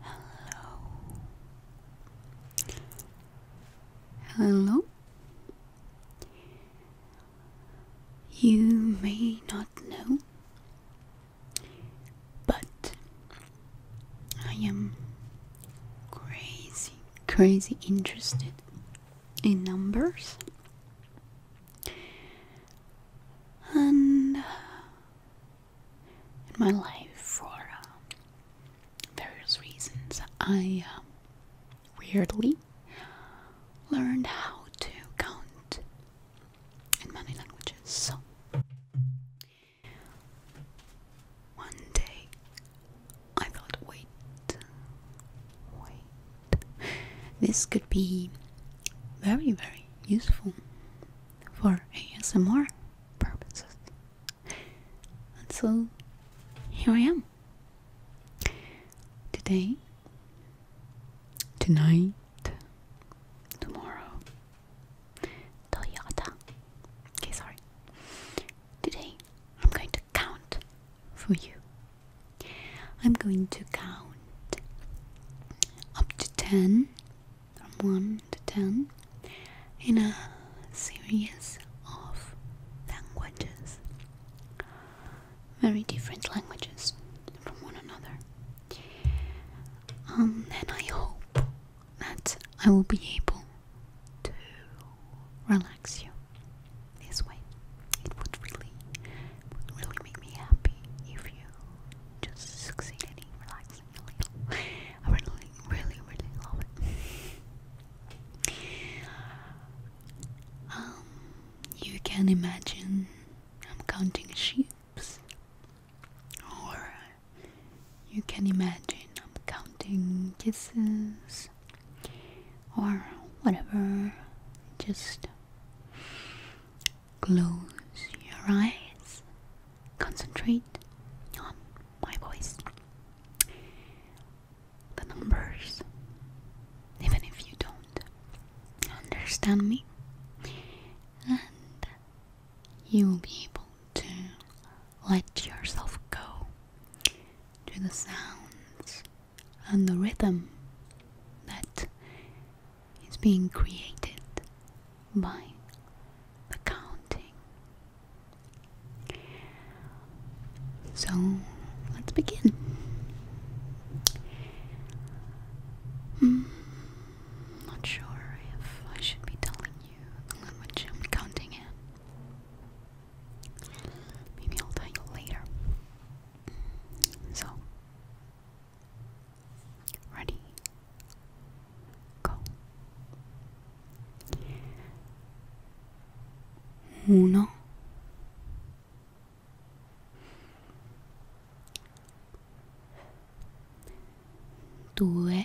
Hello. Hello. You may not know, but I am crazy, crazy interested in numbers and in my life for uh, various reasons I uh, weirdly learned how to count in many languages so one day I thought wait wait this could be very, very useful for ASMR purposes. And so here I am. Today, tonight, tomorrow, Toyota. Okay, sorry. Today, I'm going to count for you. I'm going to count up to 10 from 1 to 10 in a series of languages, very different languages from one another. Um, and I hope that I will be able to relax you this way. It would really, would really make me happy if you just succeeded in relaxing a little. I really, really, really love it. Um, you can imagine I'm counting sheep, or you can imagine I'm counting kisses or whatever. Just close your eyes, concentrate on my voice, the numbers, even if you don't understand me, and you will be able to let yourself go to the sounds and the rhythm that is being created by the counting. So let's begin. Hmm, not sure if I should be telling you the I'm counting in. Maybe I'll tell you later. So, ready, go. Uno. Due.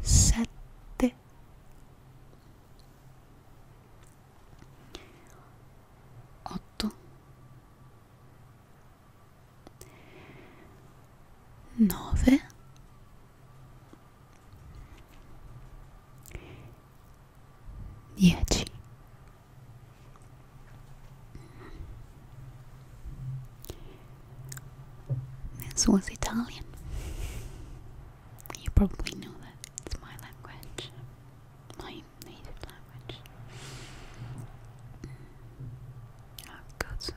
sette otto nove dieci this was Italian You probably know that it's my language, my native language. I've got some.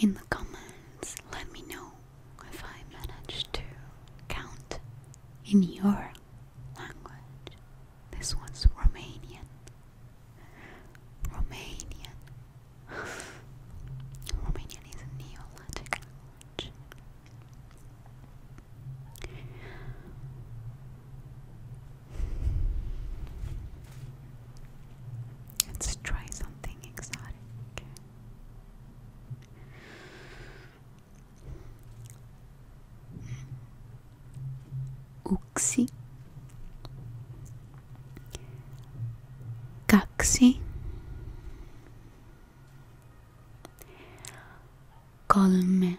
In the comments, let me know if I managed to count in your language. This one's Romanian. Romanian. Romanian is a Neolatic language. Let's try something exotic. Uxie. Kaxi Kolme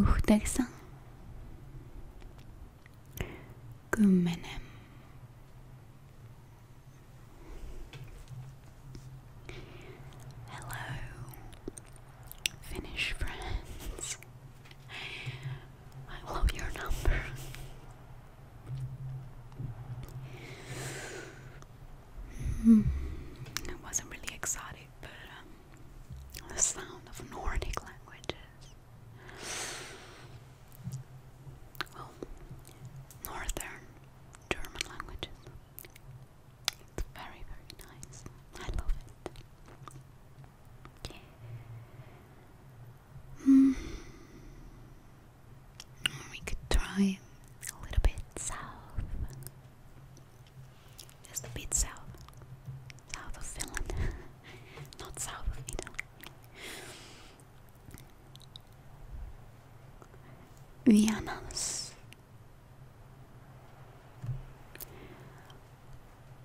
yhdeksän, kymmenen, hello, Finnish friends, I love your number. Hmm. It wasn't really exotic, but uh, the sound of Nordic languages. Well, Northern German languages. It's very, very nice. I love it. Hmm we could try a little bit south. Just a bit south. South of Finland. Not south of Italy. Vienna's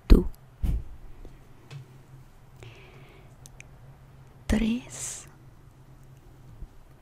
two three.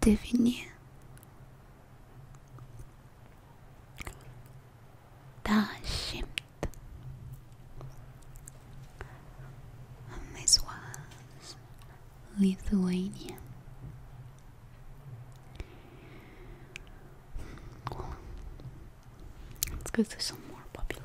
devenir Dashimt and this was Lithuania. let's go to some more popular.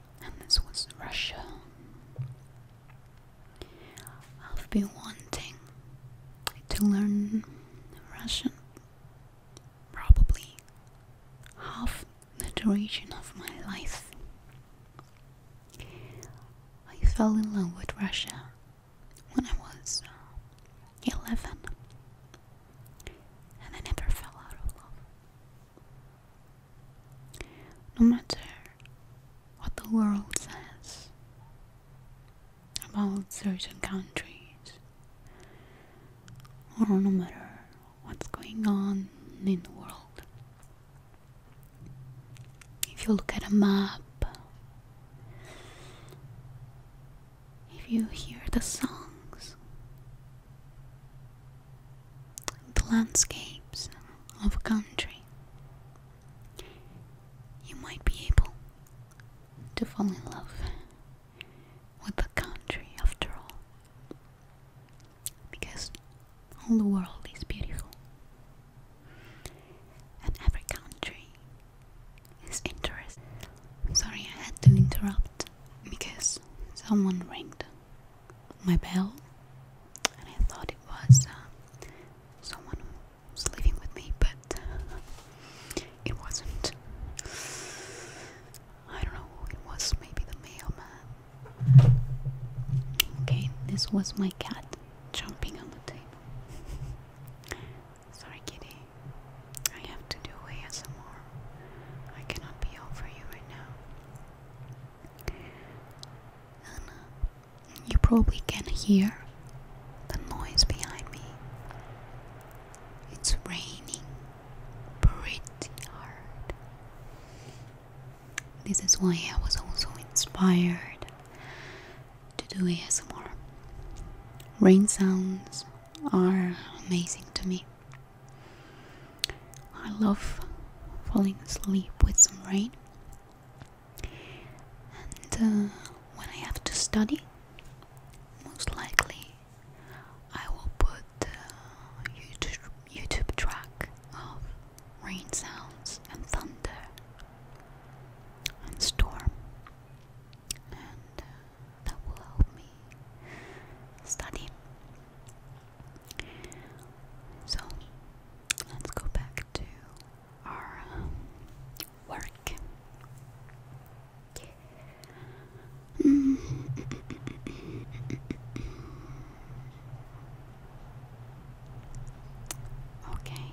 and this was Russia. I've been wanting to learn Russian probably half the duration of my life. I fell in love with Russia when I was uh, 11 and I never fell out of love. No matter what the world says about certain countries, or no matter what's going on in the world, if you look at a map. If you hear the songs the landscapes of a country, you might be able to fall in love with a country after all. Because all the world is beautiful, and every country is interesting. Sorry, I had to interrupt because someone rang my bell and I thought it was uh, someone who was living with me, but it wasn't. I don't know it was, maybe the mailman. Okay, this was my cat jumping on the table. Sorry, kitty. I have to do ASMR. I cannot be over you right now. And you probably can hear the noise behind me. It's raining pretty hard. This is why I was also inspired to do ASMR. Rain sounds are amazing to me. I love falling asleep with some rain. And uh, when I have to study, most likely I will put uh, YouTube, track of rain sounds and thunder and storm uh, that will help me study. So let's go back to our um, work. Okay.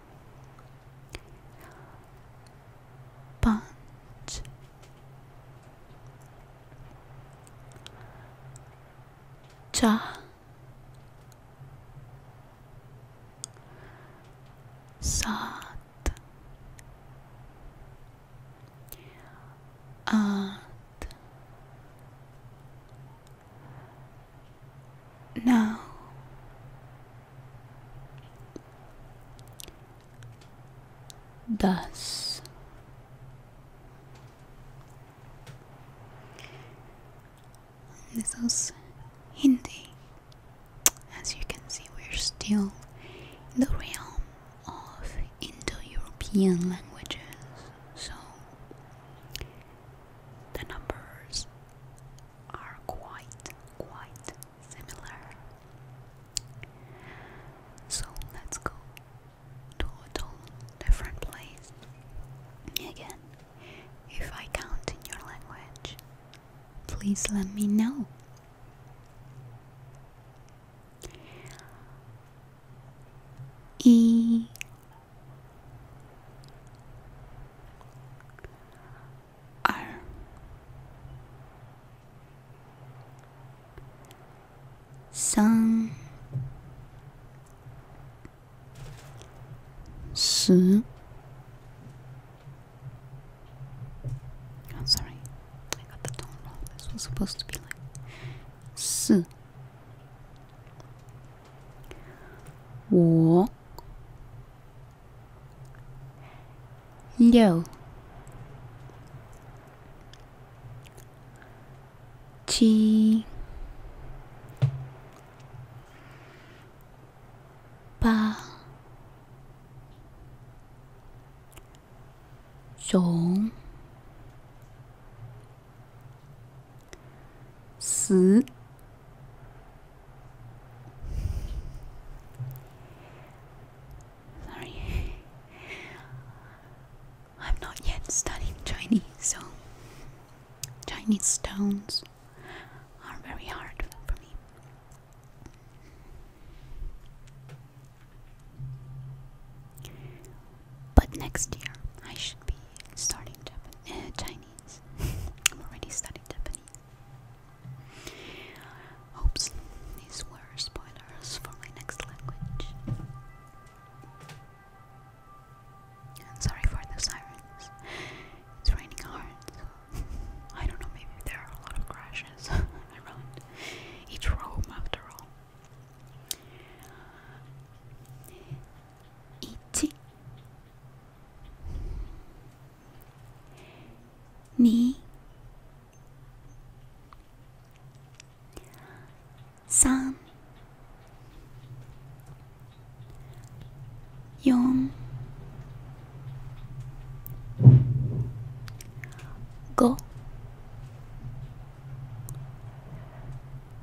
Bunch. Sat. And Thus, this is Hindi. As you can see, we're still in the realm of Indo European languages, so the numbers are quite, quite similar. So let's go to a different place. Again, if I count in your language, please let me know. E are. Sun. Oh, I got the tone wrong. This was supposed to be like 四我六、七、八、九、十。Sorry. I'm not yet studying Chinese, so Chinese stones are very hard for me. But next year I should be starting Japan, uh, I'm already studying Japanese. Oops, these were spoilers for my next language. sorry for the sirens. It's raining hard, I don't know, maybe there are a lot of crashes around each room after all. Ichi 2。3。4。5。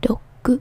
6。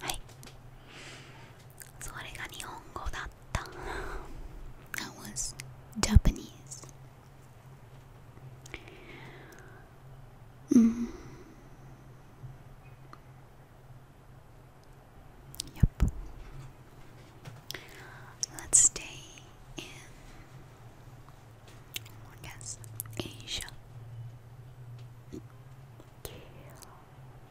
はいそれが日本語だった That was Japanese let Let's stay in I guess Asia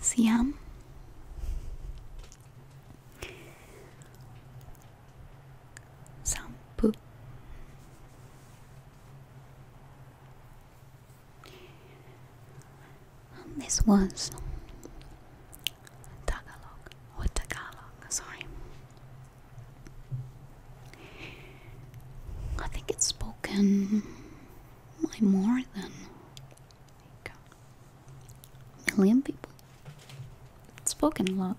Siam. Sampu. this was Tagalog or Tagalog, sorry. I think it's spoken by more than million people. spoken a lot,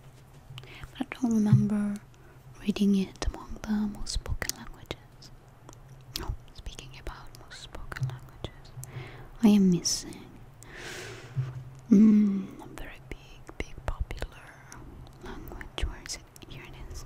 but I don't remember reading it among the most spoken languages. speaking about most spoken languages, I am missing. Mm, a very big, big popular language. Where is it? Here it is.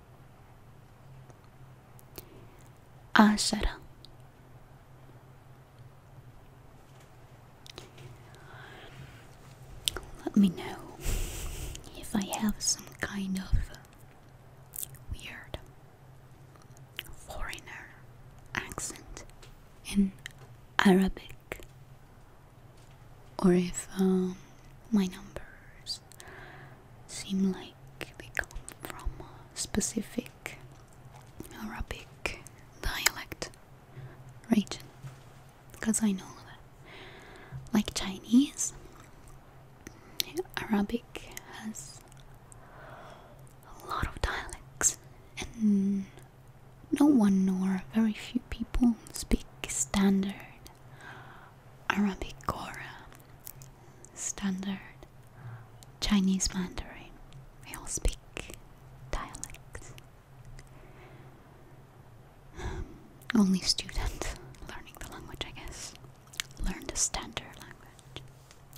عشرة let me know if I have some kind of weird foreigner accent in Arabic or if um, my numbers seem like they come from a specific Arabic dialect region because I know that like Chinese Arabic has a lot of dialects and no one nor very few people speak standard Arabic, Arabicora, Standard, Chinese Mandarin. We all speak dialects. Um, only student learning the language, I guess, learn the standard language.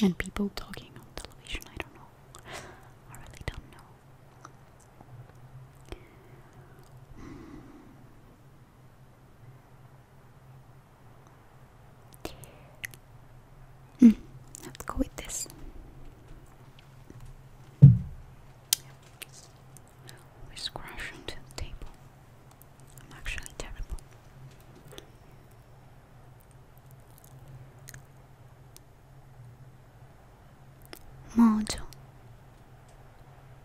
And people talking on television, I don't know. I really don't know. Mm, let's go with this. We scratch into the table. I'm actually terrible. Mojo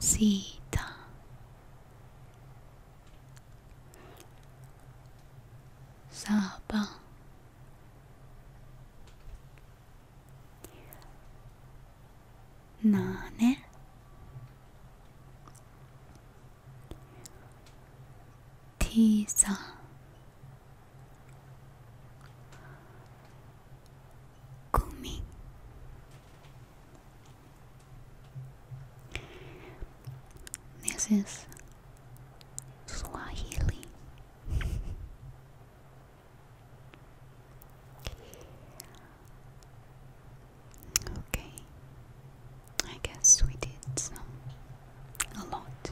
シータサバなねティーザ gumi this is Swahili okay I guess we did a lot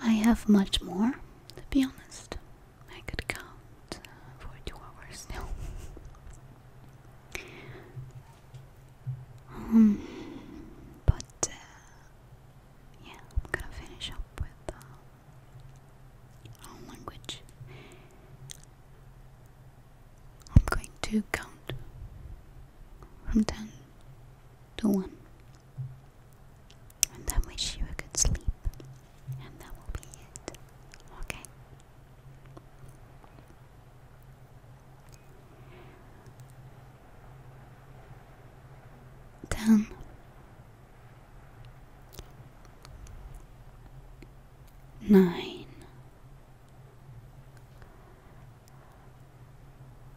I have much more to be honest I could count uh, for two hours now. Hmm, but uh, yeah, I'm gonna finish up with uh, our language. I'm going to count from ten to one and then wish you a good sleep, and that will be it. Okay? Then nine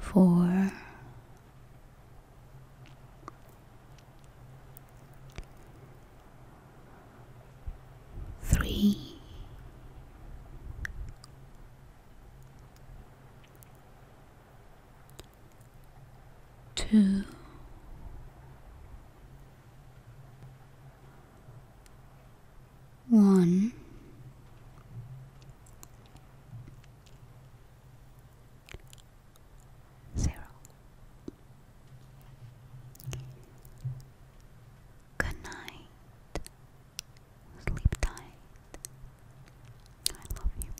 Four, three, two. One. Good night. Sleep tight. I love you.